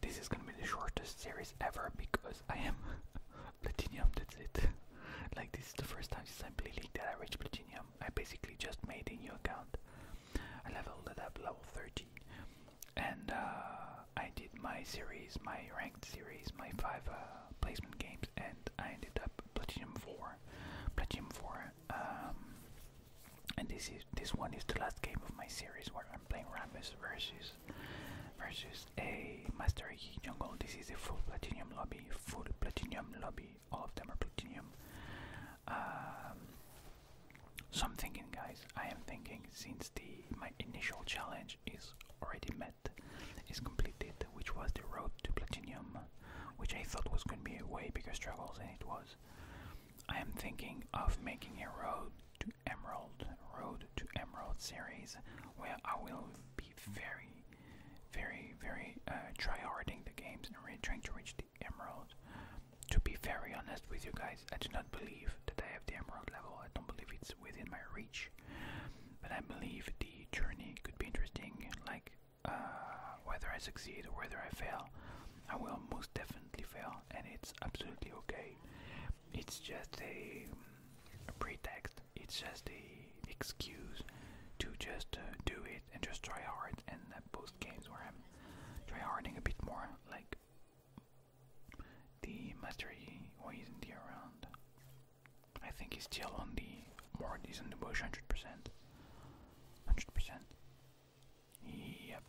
This is gonna be the shortest series ever because I am platinum, that's it. like this is the first time since I play League that I reached platinum. I basically just made a new account. I leveled it up level 30 and uh, I did my series, my ranked series, my five uh, placement games and I ended up platinum 4. Platinum 4. Um, and this is this one is the last game of my series where I'm playing Rambus versus versus a Master Yi jungle. This is a full platinum lobby, full platinum lobby. All of them are platinum. Um, so I'm thinking, guys. I am thinking since the my initial challenge is already met, is completed, which was the road to platinum, which I thought was going to be a way bigger struggles than it was. I am thinking of making a road to Emerald, Road to Emerald series, where I will be very, very, very uh, tryharding the games and really trying to reach the Emerald. To be very honest with you guys, I do not believe that I have the Emerald level. I don't believe it's within my reach, but I believe the journey could be interesting. Like uh, whether I succeed or whether I fail, I will most definitely fail, and it's absolutely okay. It's just a, pretext. It's just an excuse to just uh, do it and just try hard. And that post games where I'm try harding a bit more, like the mastery why isn't he around? I think he's still on the more decent bush, hundred percent, hundred percent. Yep.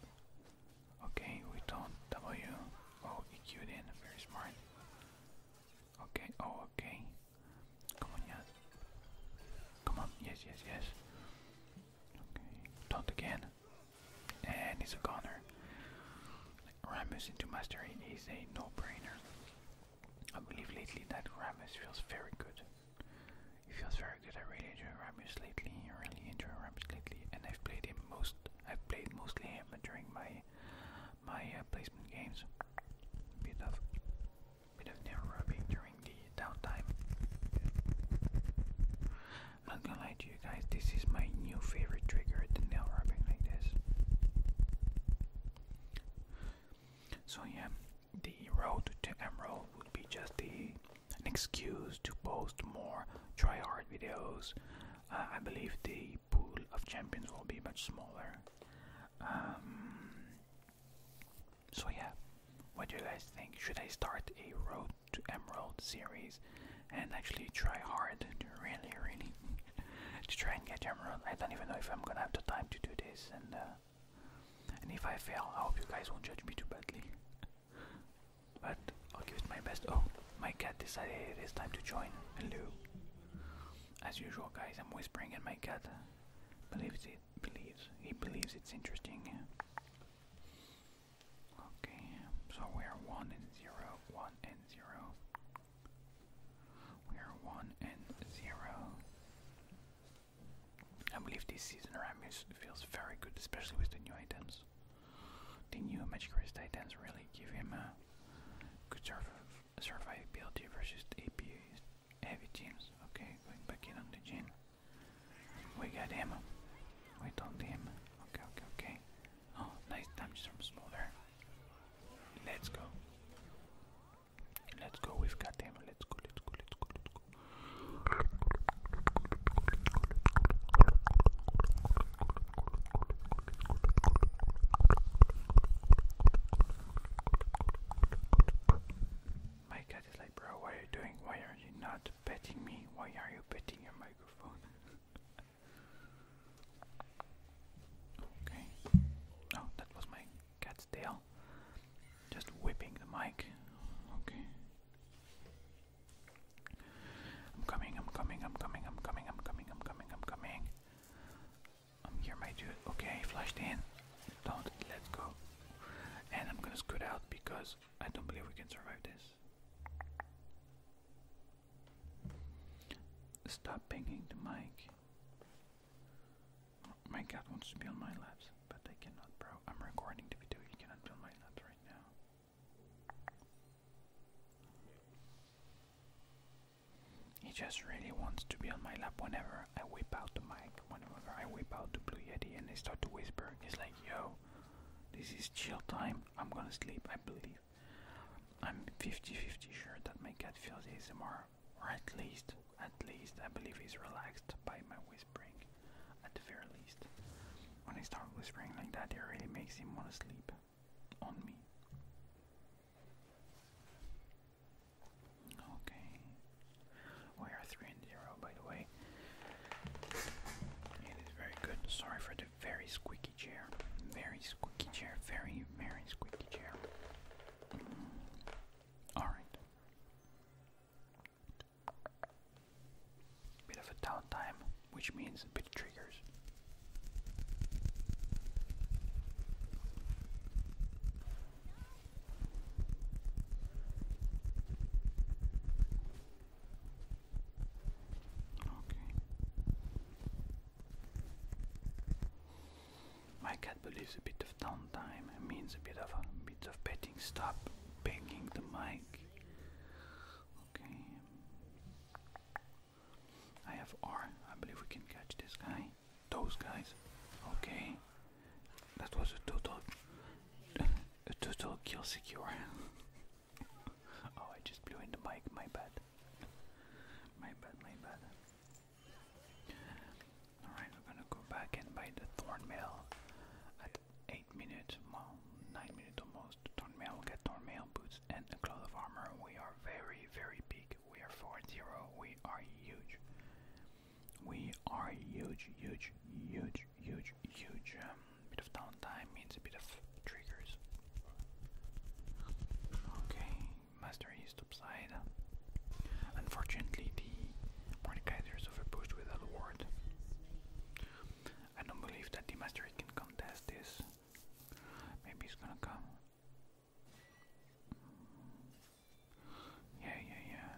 Okay, we don't W. Oh, EQ'd Very smart. Okay, oh, okay. Come on, yes. Come on, yes, yes, yes. Okay, don't again. And he's a goner. Ramus into Mastery is a no-brainer. I believe lately that Ramus feels very good. He feels very good. I really enjoy Ramus lately. I really enjoy Ramus lately. And I've played him most I've played mostly him during my my uh, placement games. Bit of bit of nail rubbing during the downtime. not gonna lie to you guys, this is my new favorite trigger, the nail rubbing like this. So yeah, the road to Emerald would be just the an excuse to post more try hard videos. Uh, I believe the pool of champions will be much smaller. Um, so yeah, what do you guys think? Should I start a Road to Emerald series and actually try hard to really, really to try and get Emerald? I don't even know if I'm gonna have the time to do this, and uh, if I fail, I hope you guys won't judge me too badly. But I'll give it my best. Oh, my cat decided it's time to join. Hello. As usual, guys, I'm whispering, and my cat believes it. Believes he believes it's interesting. Okay, so we are one and zero, one and zero. We are one and zero. I believe this season Ramus feels very good, especially with the new items. The new Magikarp Titans really give him a good survivability versus AP heavy teams. Okay, going back in on the gym. We got him. We told him. Okay, okay, okay. Oh, nice damage from Smolder. Let's go. Let's go, we've got him. Let's go, let's go, let's go, let's go. My cat is like, bro, what are you doing? Why are you not petting me? Why are you petting your microphone? okay. Oh, that was my cat's tail. Just whipping the mic. Okay. I'm coming, I'm coming, I'm coming, I'm coming, I'm coming, I'm coming, I'm coming. I'm here, my dude. Okay, flashed in. Don't, let's go. And I'm gonna scoot out because I don't believe we can survive this. Stop banging the mic. My cat wants to be on my laps, but I cannot, bro. I'm recording the video, you cannot be on my laps right now. He just really wants to be on my lap whenever I whip out the mic, whenever I whip out the Blue Yeti and they start to whisper. He's like, yo, this is chill time. I'm gonna sleep, I believe. I'm 50 50 sure that my cat feels ASMR, or at least, at least I believe he's relaxed by my whispering at the very least. When they start whispering like that, it really makes him want to sleep on me. Okay, we are 3 and 0 by the way. It is very good. Sorry for the very squeaky chair. Very squeaky chair. Very, very squeaky chair. Alright. Bit of a downtime, which means a bit of triggers. Okay. My cat believes a bit of downtime means a bit of a bit of petting. Stop banging the mic. Okay. I have R. I believe we can catch this guy. Those guys. Okay. That was a total a total kill secure. oh, I just blew in the mic. My bad. My bad, my bad. Alright, we're gonna go back and buy the thorn 8 minutes, 9 minutes almost. Tornmail, get Tornmail boots and a cloth of armor. We are very, very big. We are 4 We are huge. We are huge, huge, huge, huge, huge. Um, bit of downtime means a bit of triggers. Okay, Master East upside. Unfortunately, the Mordekaiser overpushed with a ward. I don't believe that the master can contest this. Maybe he's gonna come. Yeah, yeah, yeah.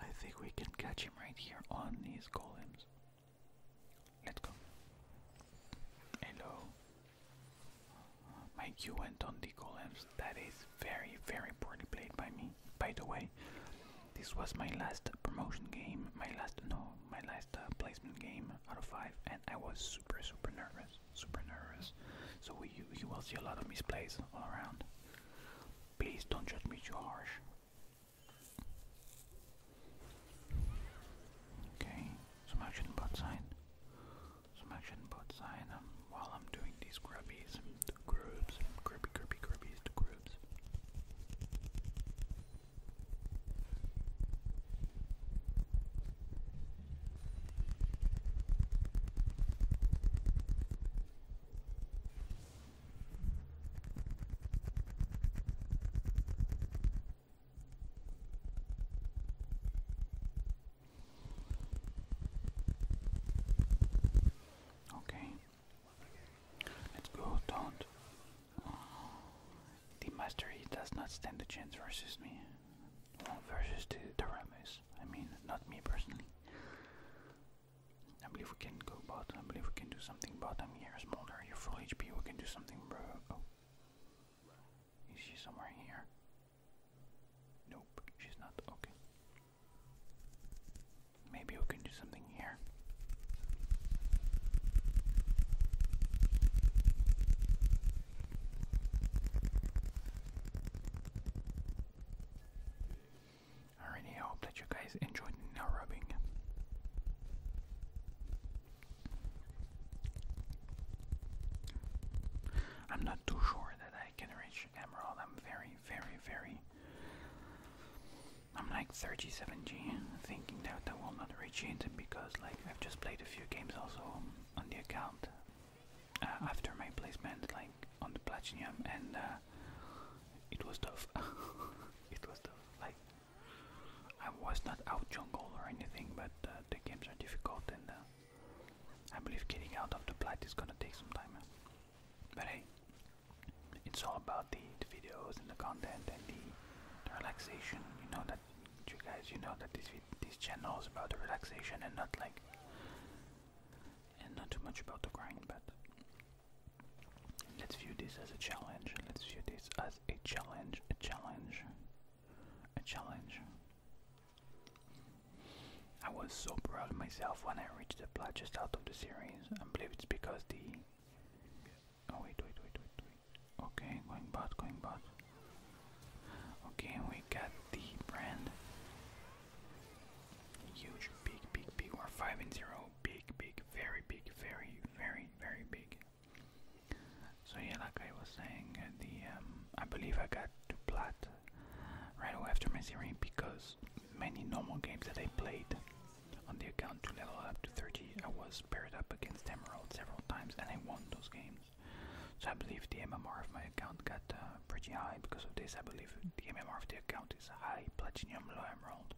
I think we can catch him right here on these golems. Let's go. Hello. My Q went on the golems. That is very, very poorly played by me. By the way, this was my last promotion game, my last no, my last uh, placement game out of five, and I was super super nervous, super nervous. So you, you will see a lot of misplays all around. Please don't judge me too harsh. Okay, some action bot sign. Some action bot sign um, while I'm doing these grubbies the grubs, grubby, grubby, grubbies, the grubs. Okay, Let's go, don't. The mastery does not stand a chance versus me. versus the, the Ramis. I mean, not me personally. I believe we can go bot. I believe we can do something bot. I'm here, smaller. You're full HP. We can do something, bro. Oh. Is she somewhere here? Nope, she's not. Okay. Maybe we can do something here. Alrighty, I hope that you guys enjoyed nail rubbing. I'm not too sure that I can reach Emerald. I'm very, very, very I'm like 37G, thinking that I will not reach it because like I've just played a few games also on the account uh, after my placement, like on the platinum, and uh, it was tough. it was tough. Like I was not out jungle or anything, but uh, the games are difficult, and I believe getting out of the plat is gonna take some time. But hey, it's all about the, videos and the content and the, the relaxation. You know that you guys, you know that this this channel is about the relaxation and not like and not too much about the grind. But let's view this as a challenge. Let's view this as a challenge, a challenge, a challenge. I was so proud of myself when I reached the just out of the series. I believe it's because the. Oh, wait, wait, wait, wait, wait. Okay, going bot, going bot. Okay, we got the brand. Huge, big, big, big. we 5 and 0. Big, big, very big, very, very, very big. So, yeah, like I was saying, uh, the um, I believe I got to plat right after my series because many normal games that I played on the account to level up to 30, I was paired up against Emerald several times and I won those games. So I believe the MMR of my account got uh, pretty high because of this. I believe the MMR of the account is high platinum, low emerald.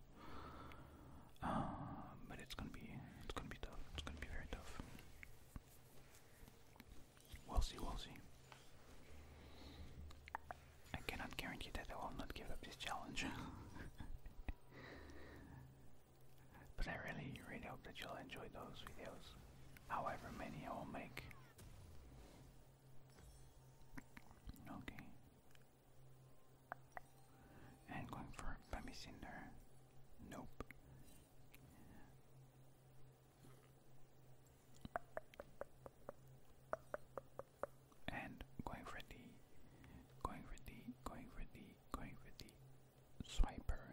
Um, but it's gonna be it's gonna be tough. It's gonna be very tough. We'll see. We'll see. I cannot guarantee that I will not give up this challenge. but I really, really hope that you'll enjoy those videos, however many I will make. Okay. And going for Bambi Cinder. Nope and going for the going for the going for the going for the swiper.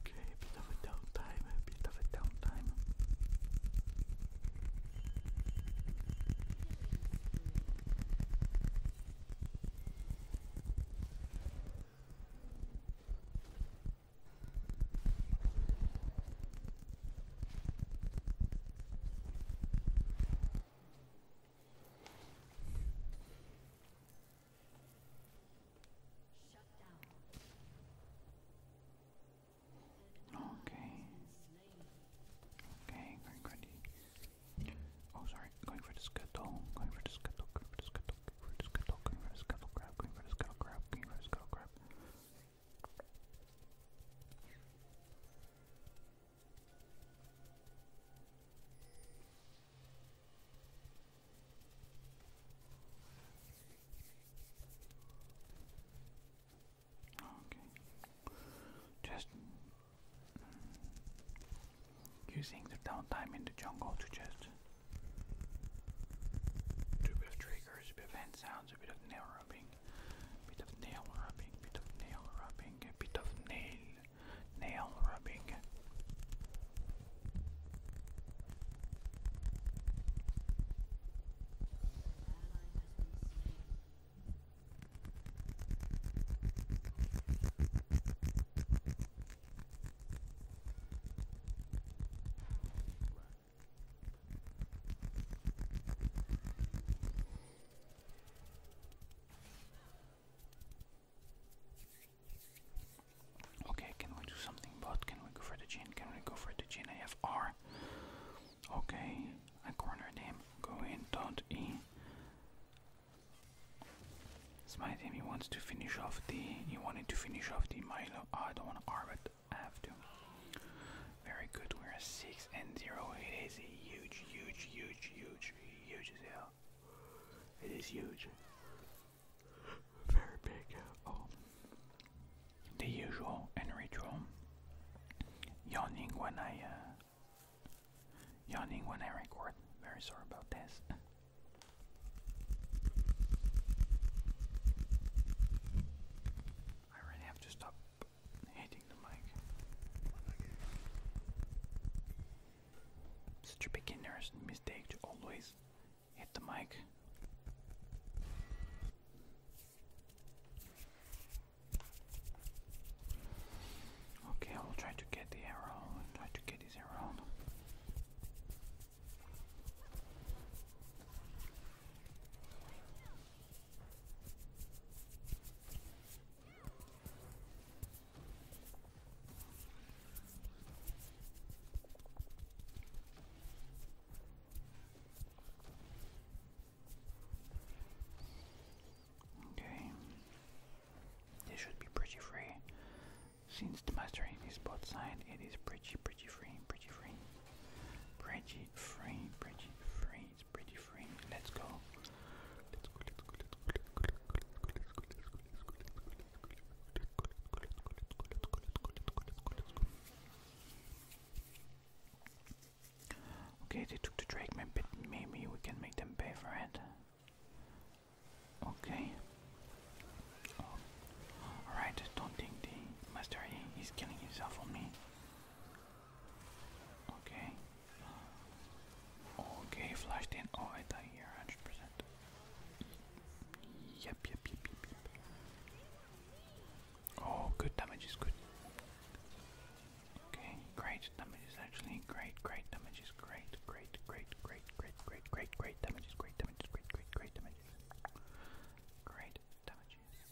Okay, a bit of a downtime, a bit of a downtime. Okay. Okay, going for Oh, sorry. Going for the scuttle. Going for the scuttle. Going for the scuttle. Root scuttle, green root scuttle crab, green root scuttle crab, green root scuttle crab. Okay. Just using the downtime in the jungle to just do a bit of triggers, a bit of hand sounds, a bit of nail rubbing, a bit of nail rubbing, a bit of nail rubbing, a bit of nail, nail rubbing. Okay, can we do something but can we go for the gene? Can we go for the gin? Okay, I cornered him. Go in, dot E. Smite him, he wants to finish off the he wanted to finish off the Milo. I don't want to R, I have to. Very good, we're at 6 and 0. It is huge, huge, huge, huge, huge as It is huge. Very big. Oh. The usual and ritual. Yawning when I, uh, yawning when I record. Very sorry about this. I really have to stop hitting the mic. Such a beginner's mistake to always hit the mic. Okay, I will try to get the arrow. try to get this arrow. Okay. This should be pretty free. Since the mastering is both sides, it is pretty, pretty free, pretty free, pretty free, pretty free, it's pretty free. Let's go. Let's go. Let's go. Let's go. Let's go. Let's go. Let's go. Let's go. Okay, they took the Drakeman, but maybe we can make them pay for it. Okay. Alright, don't think the master he killing himself on me. Okay. Okay, flashed in. Oh, I die here 100%. Yep, yep, yep, yep, yep. Oh, good damage is good. Okay, great damage is actually great, great damage is great, great, great, great, great, great, great, great damage is great, damage is great, great, great damage Great damages.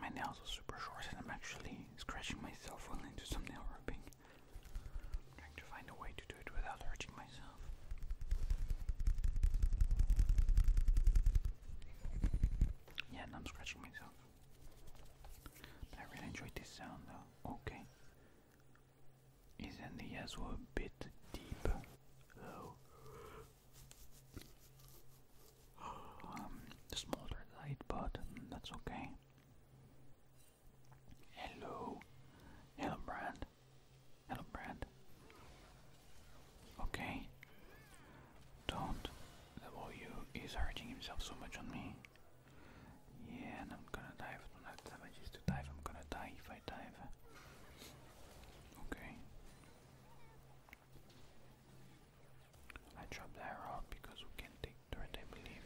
My nails are super short, and I'm actually scratching myself while I do some nail rubbing. trying to find a way to do it without hurting myself. Yeah, and I'm scratching myself. But I really enjoyed this sound though. Okay is in the Yazoo a bit deep though? Um, smaller light, but that's okay. Hello, hello, Brand. Hello, Brand. Okay. Don't. W is hurting himself so much on me. Yeah, and I'm gonna die don't have damages to dive. I'm gonna die if I dive. Okay. I dropped that rock because we can take turret, I believe.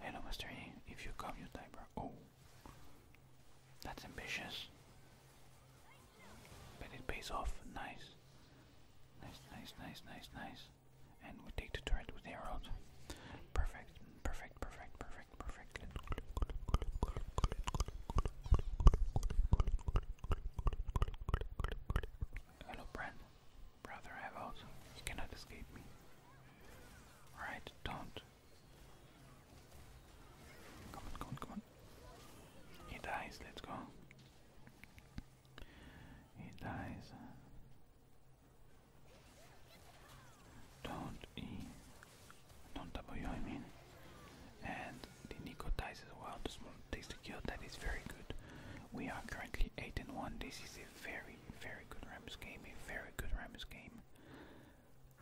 Hello, Master If you come, you die, Oh. That's ambitious. But it pays off. Nice. Nice, nice, nice, nice, nice. And we take the turret with the Perfect, perfect, perfect, perfect. Hello, Bran. Brother, I have out. You cannot escape me. Alright, don't. Come on, come on, come on. He dies, let's go. He dies. Don't he non W I mean. And the Nico dies as well, the small tasty kill, that is very good. We are currently 8 and 1. This is a very, very good Rams game, a very good Rams game.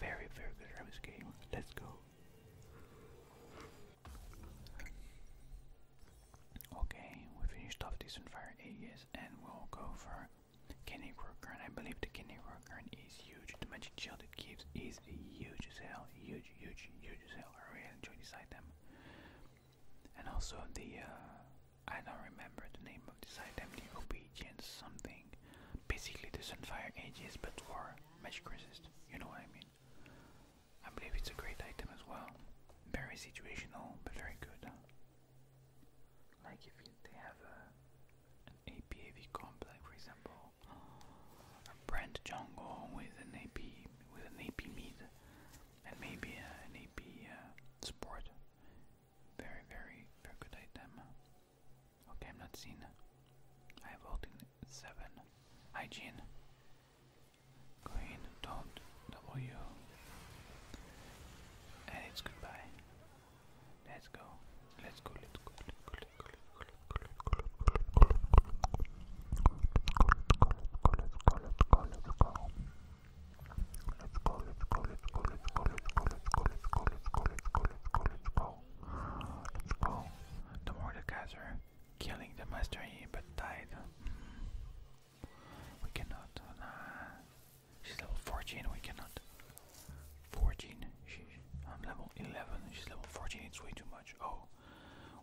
Very, very good Rams game. Let's go. Okay, we finished off this on fire ages and we'll go for Kenny Crooker and I believe the Kenny is huge. The magic shield it gives is huge as hell. Huge, huge, huge as hell. I really enjoy this item. And also the uh, I don't remember the name of this item, the obedience something. Basically the Sunfire Ages but for magic resist. You know what I mean. I believe it's a great item as well. Very situational but very good. Like if you, they have uh, a an APAV comp, for example, Brent Jungle with an AP with an AP mid and maybe uh, an AP uh, support. Very, very, very good item. Okay, I'm not seen. I have ult in seven. Hygiene. Queen, do W. And it's goodbye. Let's go. Let's go. Let's go. Let's go. Let's go. Let's go. The Mordekaiser killing the master but died. We cannot. She's level 14, we cannot. 14. She, I'm level 11. She's level 14. It's way too much. Oh,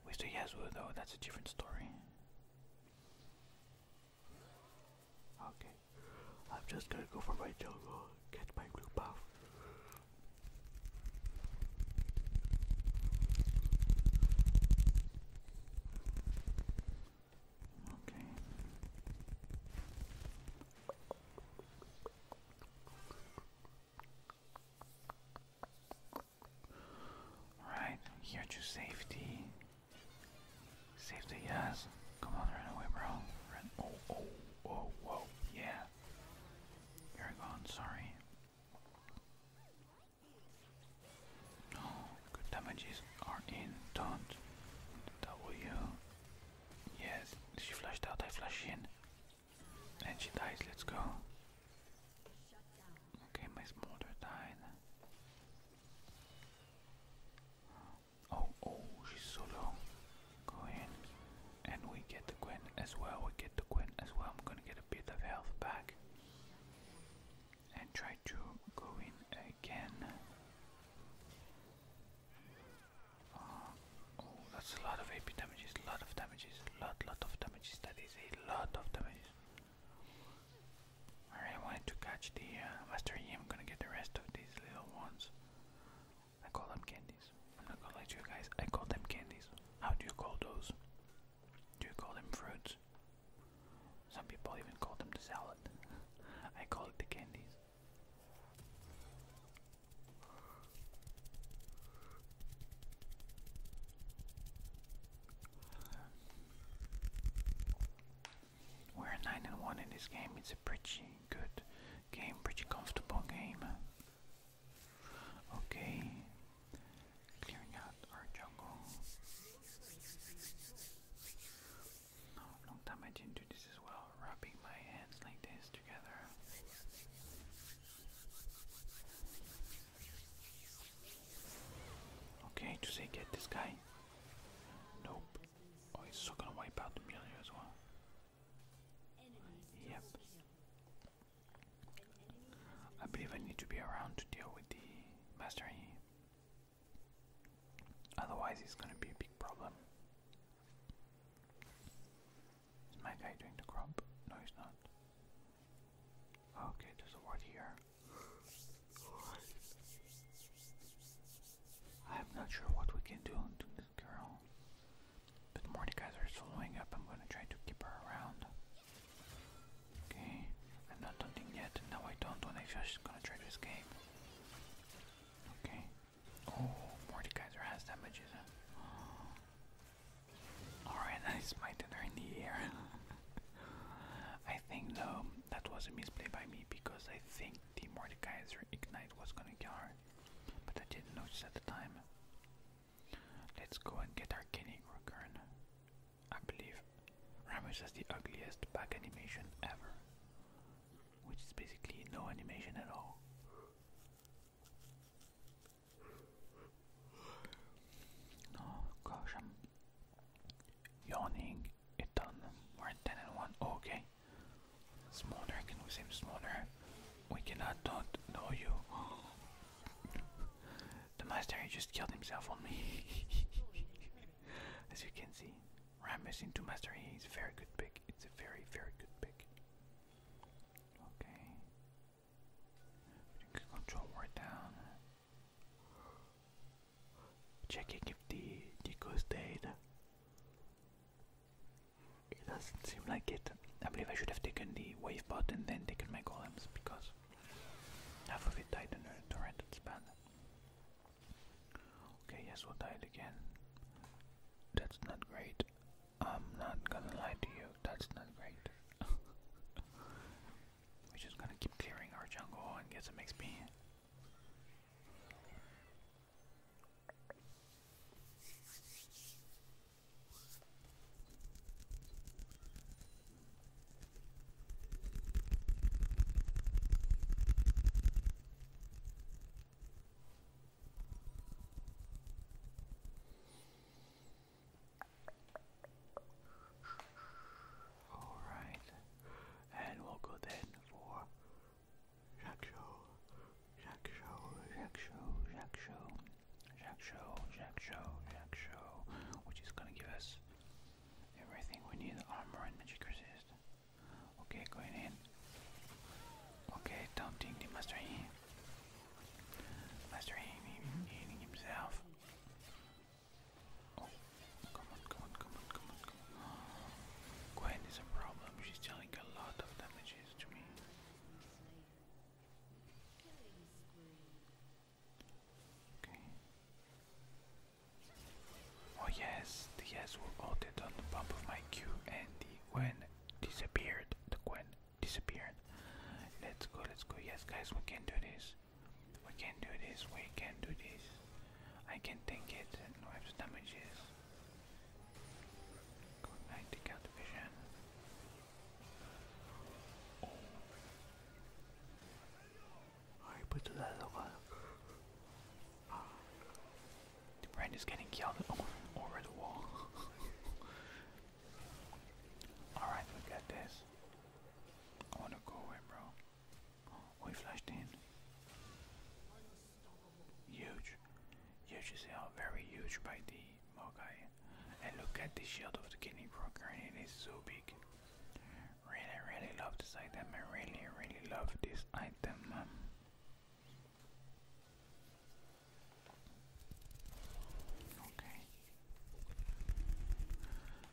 we still Yasuo though. That's a different story. Okay, I'm just gonna go for my jungle. Get my blue buff. Okay. Alright, here to safety. Safety, yes. Come on, run away, bro. Run. Oh, oh, oh, whoa, yeah. You're gone, sorry. No, good damages are in. Don't W. Yes, she flushed out, I flash in. And she dies, let's go. Okay, my smolder died. Oh, oh, she's so low. Go in. And we get the Gwen as well, we get the Gwen as well. I'm gonna get a bit of health back. And try to go in again. Oh, oh, that's a lot of AP damages, lot of damages, lot, lot of damages. That is a lot of damages. I wanted to catch the uh, Master I'm gonna get the rest of these little ones. I call them candies. I'm not gonna lie you guys. I call them candies. How do you call those? Do you call them fruits? Some people even call them the salad. I call it the candies. We're nine and one in this game. It's a pretty good game, pretty comfortable game. Okay, clearing out our jungle. Oh, long time I didn't do this as well, Wrapping my hands like this together. Okay, to say get this guy. Nope. Oh, it's still gonna wipe out the million as well. Yep. I believe I need to be around to deal with the mastery. Otherwise, it's gonna be a big problem. Is my guy doing the crop? No, he's not. Okay, there's a ward here. I'm not sure what we can do to this girl. But Mordecai's are slowing up. I'm gonna try to keep her around. Okay, I'm not hunting yet. No, I don't. When I feel she's gonna try to escape. Okay, Oh, Mordekaiser has damages. Alright, I smited her in the air. I think though that was a misplay by me because I think the Mordekaiser Ignite was gonna kill her. But I didn't notice at the time. Let's go and get our Kenny Rukern. I believe Ramos has the ugliest back animation ever which is basically no animation at all. Oh gosh, I'm yawning a ton. We're 10 and 1. okay. Smaller, can we save smaller? We cannot not know you. the master just killed himself on me. As you can see. Rammus into Master He's a very good pick. It's a very, very good pick. Okay. Control ward down. Checking if the Deco stayed. It doesn't seem like it. I believe I should have taken the wave and then taken my golems because half of it died in a torrent. It's Okay, yes, we'll die again. That's not great. I'm not gonna lie to you, that's not great. We're just gonna keep clearing our jungle and get some XP. All right, and we'll go then for Jack Show, Jack Show, Jack Show, Jack Show, Jack Show, Jack Show, Jack Show, which is gonna give us everything we need: armor and magic resist. Okay, going in. Okay, don't think Yi. Master Yi himself. Oh, come on, come on, come on, come on, come is a problem. She's dealing a lot of damages to me. Okay. Oh yes, the yes were altered on the bump of my Q and the when disappeared. The when disappeared. Let's go, let's go. Yes guys, we can do this. We can do this, we can do this. I can take it and wipe the damages. Good vision. Oh. I put that over. Brandon's getting killed over, the wall. Alright, we got this. I wanna go away, bro. we flashed in. Huge. Huge is hell. Very huge by the Mogai. And look at the shield of the Kidney Broker. It is so big. Really, really love this item. I really, really love this item. Um, Okay.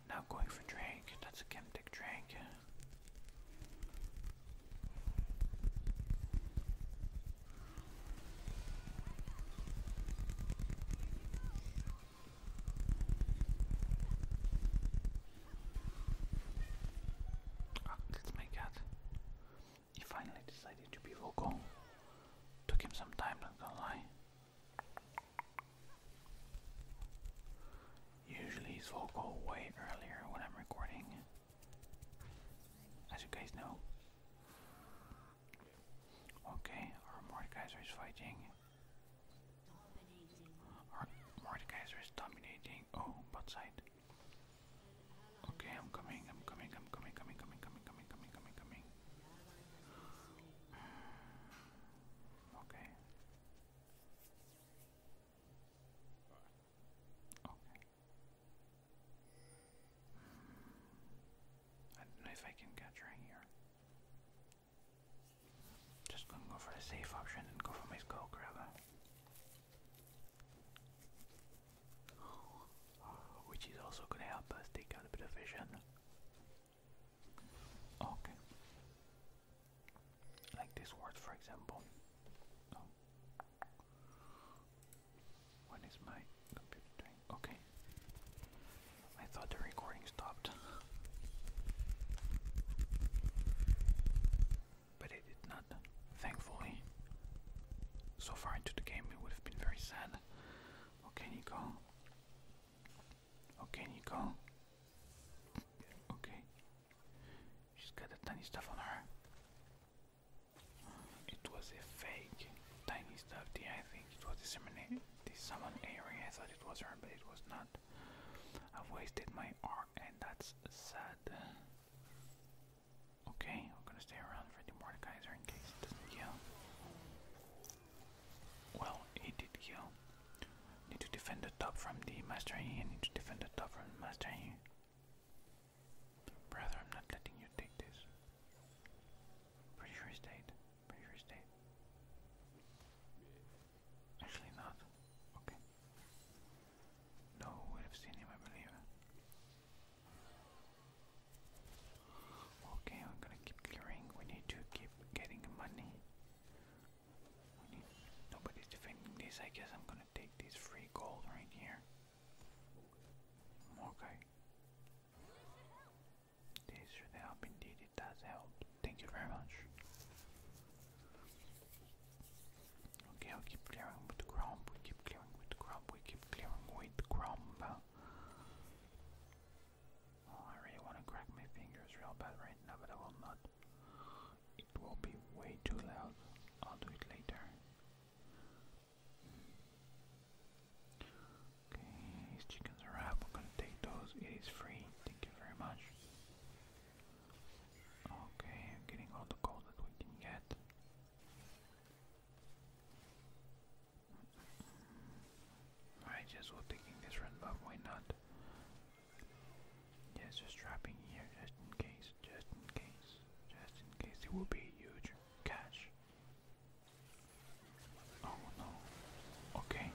Now going for Drake. That's a Chemtic drink. Ah, that's my cat. He finally decided to be vocal. Took him some time, not gonna lie. Usually he's vocal way earlier when I'm recording. As you guys know. Okay, our Mordekaiser is fighting. Our Mordekaiser is dominating. Oh, bot side. Okay, I'm coming, I'm coming, I'm coming, coming, coming, coming, coming, coming, coming, coming. Okay. Okay. I don't know if I can catch right here. Just gonna go for the safe option and go for my skull which is also going to help us take out a bit of vision. Okay. Like this word, for example. Oh. What is my computer doing? Okay. I thought the recording stopped but it did not, thankfully. So far into the game, it would have been very sad. Okay, Nico. Okay, Nico. Okay. She's got a tiny stuff on her. It was a fake tiny stuff. Yeah, I think it was the summon, the area. I thought it was her, but it was not. i wasted my and that's sad. Okay, we're gonna stay around for the Mordekaiser in case it doesn't heal. Well, it did heal. Need to defend the top from the Master Yi, need to defend the top from Master Yi. Brother, I'm not letting you take this. Pretty sure it's dead. Pretty sure it's dead. Actually not. Okay. No one have seen him, I believe. Okay, I'm gonna keep clearing. We need to keep getting money. nobody's defending this. I guess I'm gonna take this free gold right here. Okay. This should help indeed, it does help. Thank you very much. Okay, i keep clearing with the grump, we keep clearing with the grump, we keep clearing with the grump. Oh, I really want to crack my fingers real bad right now, but I will not. It will be way too loud. I'll do it later. Okay, these chickens are up. I'm gonna take those. It is free. Thank you very much. Okay, i getting all the gold that we can get. I just was taking this red buff, why not? Yes, just trapping here, just in case, just in case, just in case. It will be a huge catch. Oh no. Okay.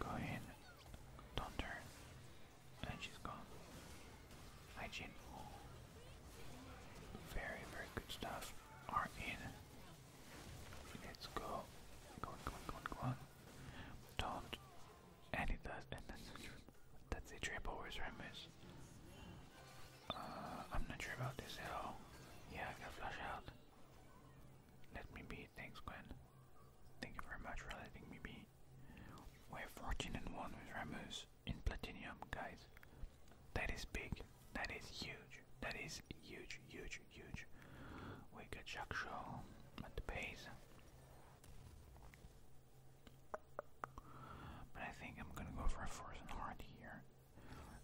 Go in. Don't turn. And she's gone. Hygiene. Very, very good stuff are in. Let's go. Go on, go on, go on, go on. Don't. And does. And that's That's a triple. Where's Remus? Uh, I'm not sure about this at all. Yeah, I got flash out. Let me be. Thanks, Gwen. Thank you very much for letting me be. We're 14 and 1 with Ramos in Platinum, guys. That is big. That is huge. That is huge, huge, huge. We got Jack Shaw at the base. But I think I'm gonna go for a force and heart here.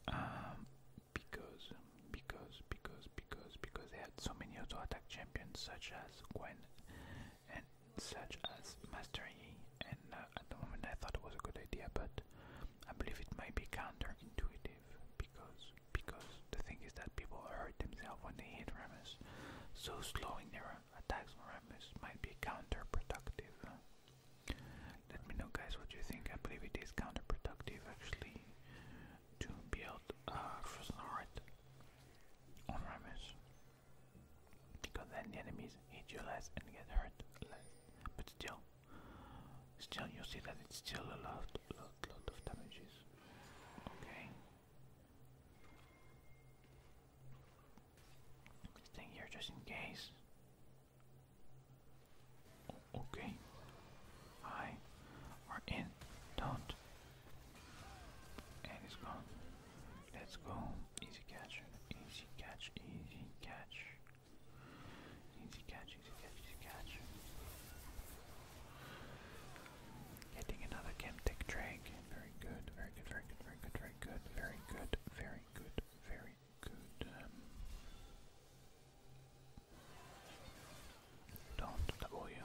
Um, because, because, because, because, because they had so many auto attack champions such as Gwen and such as mastering and uh, at the moment I thought it was a good idea but I believe it might be counterintuitive because because the thing is that people hurt themselves when they hit Ramus, so slowing their attacks on Ramus might be counterproductive let me know guys what you think I believe it is counterproductive actually to build a uh, Heart on Remus because then the enemies hit you less and get hurt less. But still, still you see that it's still a lot, lot, lot of damages. Okay. just in case. Okay. Hi. We're in don't. And he's gone. Let's go. Easy catch. Easy catch. Easy catch. Easy catch. Easy catch. Easy catch. Getting another Chemtech drag. Very good. Very good. Very good. Very good. Very good. Very good. Very good. Very good. don't double you.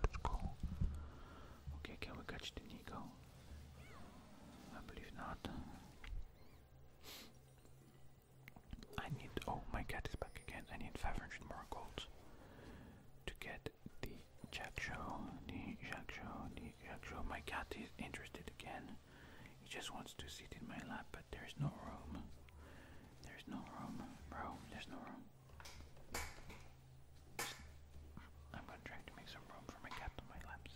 let's go. Okay, can we catch the Nico? I believe not. I need. Oh, my cat is back again. I need 500 more gold to get the Jackshaw, the Jackshaw, the Jackshaw. Oh my cat is interested again. He just wants to sit in my lap, but there's no room. There's no room, bro. There's no room. I'm gonna try to make some room for my cat on my laps.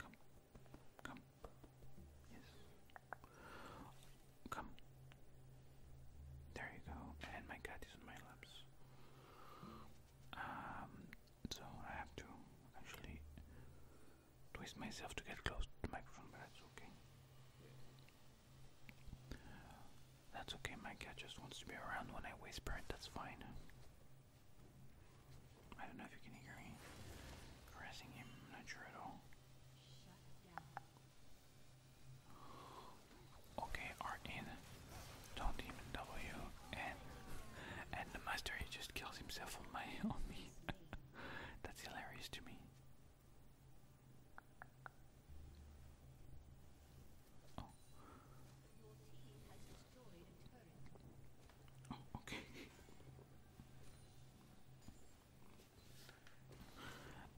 Come, come, yes, come. There you go, and my cat is on my laps. Um, so I have to actually twist myself to get close to the microphone, but that's okay. That's okay, my cat just wants to be around when I whisper it, that's fine. I don't know if you can hear me caressing him, not sure at all. Okay, are in. Don't even W and the master he just kills himself on my on me. That's hilarious to me. Oh. okay.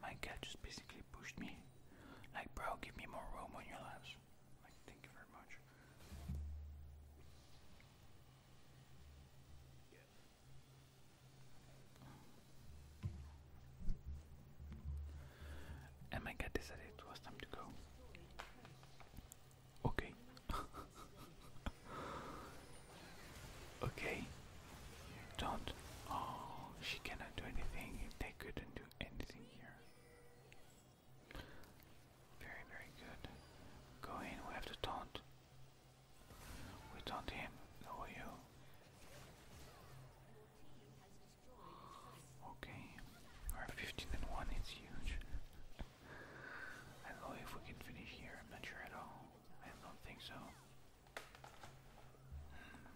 My cat just basically pushed me. Like, bro, give me more room on your laps. Like, thank you very much. And decided it was time to go. Okay. okay. do Oh, she cannot do anything. They couldn't do anything here. Very, very good. Go in, we have to taunt. We don't him, no you. Okay, we're 15 and 1, it's huge. I don't know if we can finish here, I'm not sure at all. I don't think so. Hmm.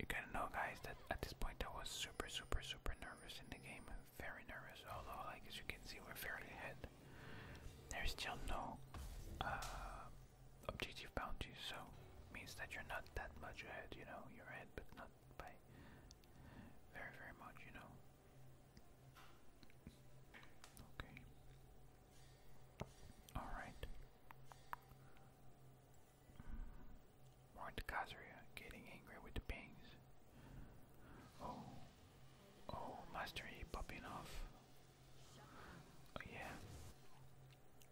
You gotta know, guys, that at this point I was super, super, super nervous in the game. Very nervous, although, like as you can see, we're fairly ahead. There is still no uh, objective bounty, so means that you're not that much ahead, you know, you're ahead but not by very very much, you know. Okay. Alright. More mm, into Kazuria, getting angry with the pings. Oh, oh, Master popping off. Oh yeah.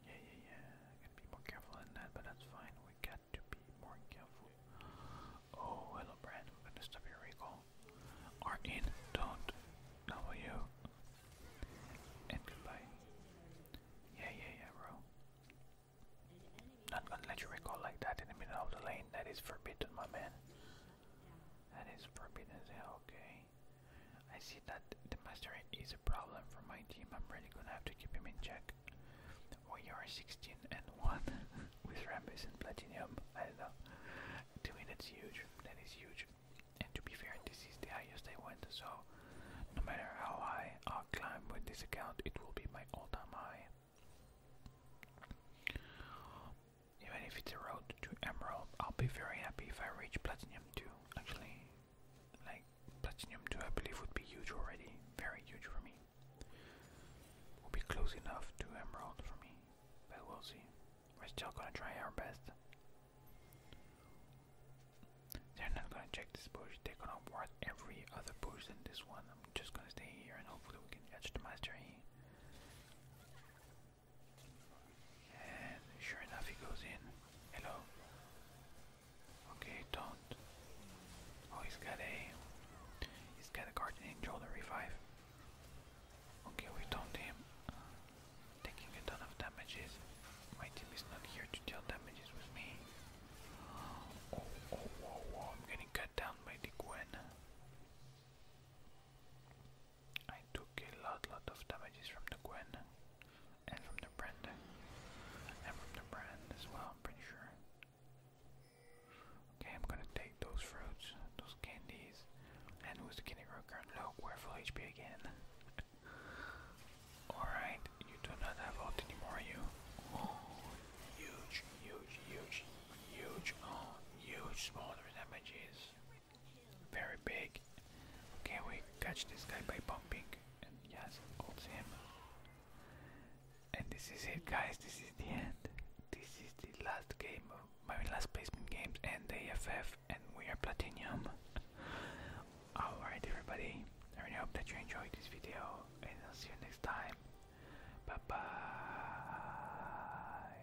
Yeah, yeah, yeah. gotta be more careful than that, but that's fine. We got to be more careful. Oh, hello, Brad. We're gonna stop your recall. Are in, don't. W. And goodbye. Yeah, yeah, yeah, bro. Not gonna let you recall like that in the middle of the lane. That is forbidden, my man. That is forbidden. Is that okay? I see that the master is a problem for my team. I'm really gonna have to keep him in check. We are 16 and 1 with Rambus and Platinum. I know. To me, huge. That is huge. And to be fair, this is the highest I went, so no matter how high I climb with this account, it will be my all time high. Even if it's road to Emerald, I'll be very happy if I reach Platinum 2. Actually, like Platinum 2 I believe would be huge already, very huge for me. Will be close enough to Emerald for me, but we'll see. We're still gonna try our best. They're not gonna check this bush, they're gonna ward every other bush than this one. I'm just gonna stay here and hopefully we can catch the Master here. And sure enough, he goes in. Hello. Okay, don't. Oh, he's got a. He's got a guardian angel revive. Okay, we don't him. Taking a ton of damages. My team is not here to deal damages with me. Oh, oh, oh, oh, I'm getting cut down by the Gwen. I took a lot lot of damages from the Gwen and from the brand and from the brand as well I'm pretty sure. Okay, I'm gonna take those fruits, those candies, and who's the candy rocker? No, we're full HP again. Alright, you do not have ult anymore you oh huge, huge, huge, huge, oh huge smaller damages. Very big. Okay, we catch this guy by bumping. And yes, holds him. And this is it, guys. This is the end. This is the last game of my last placement games and the AFF, and we are platinum. Alright, everybody. I really hope that you enjoyed this video, and I'll see you next time. Bye bye.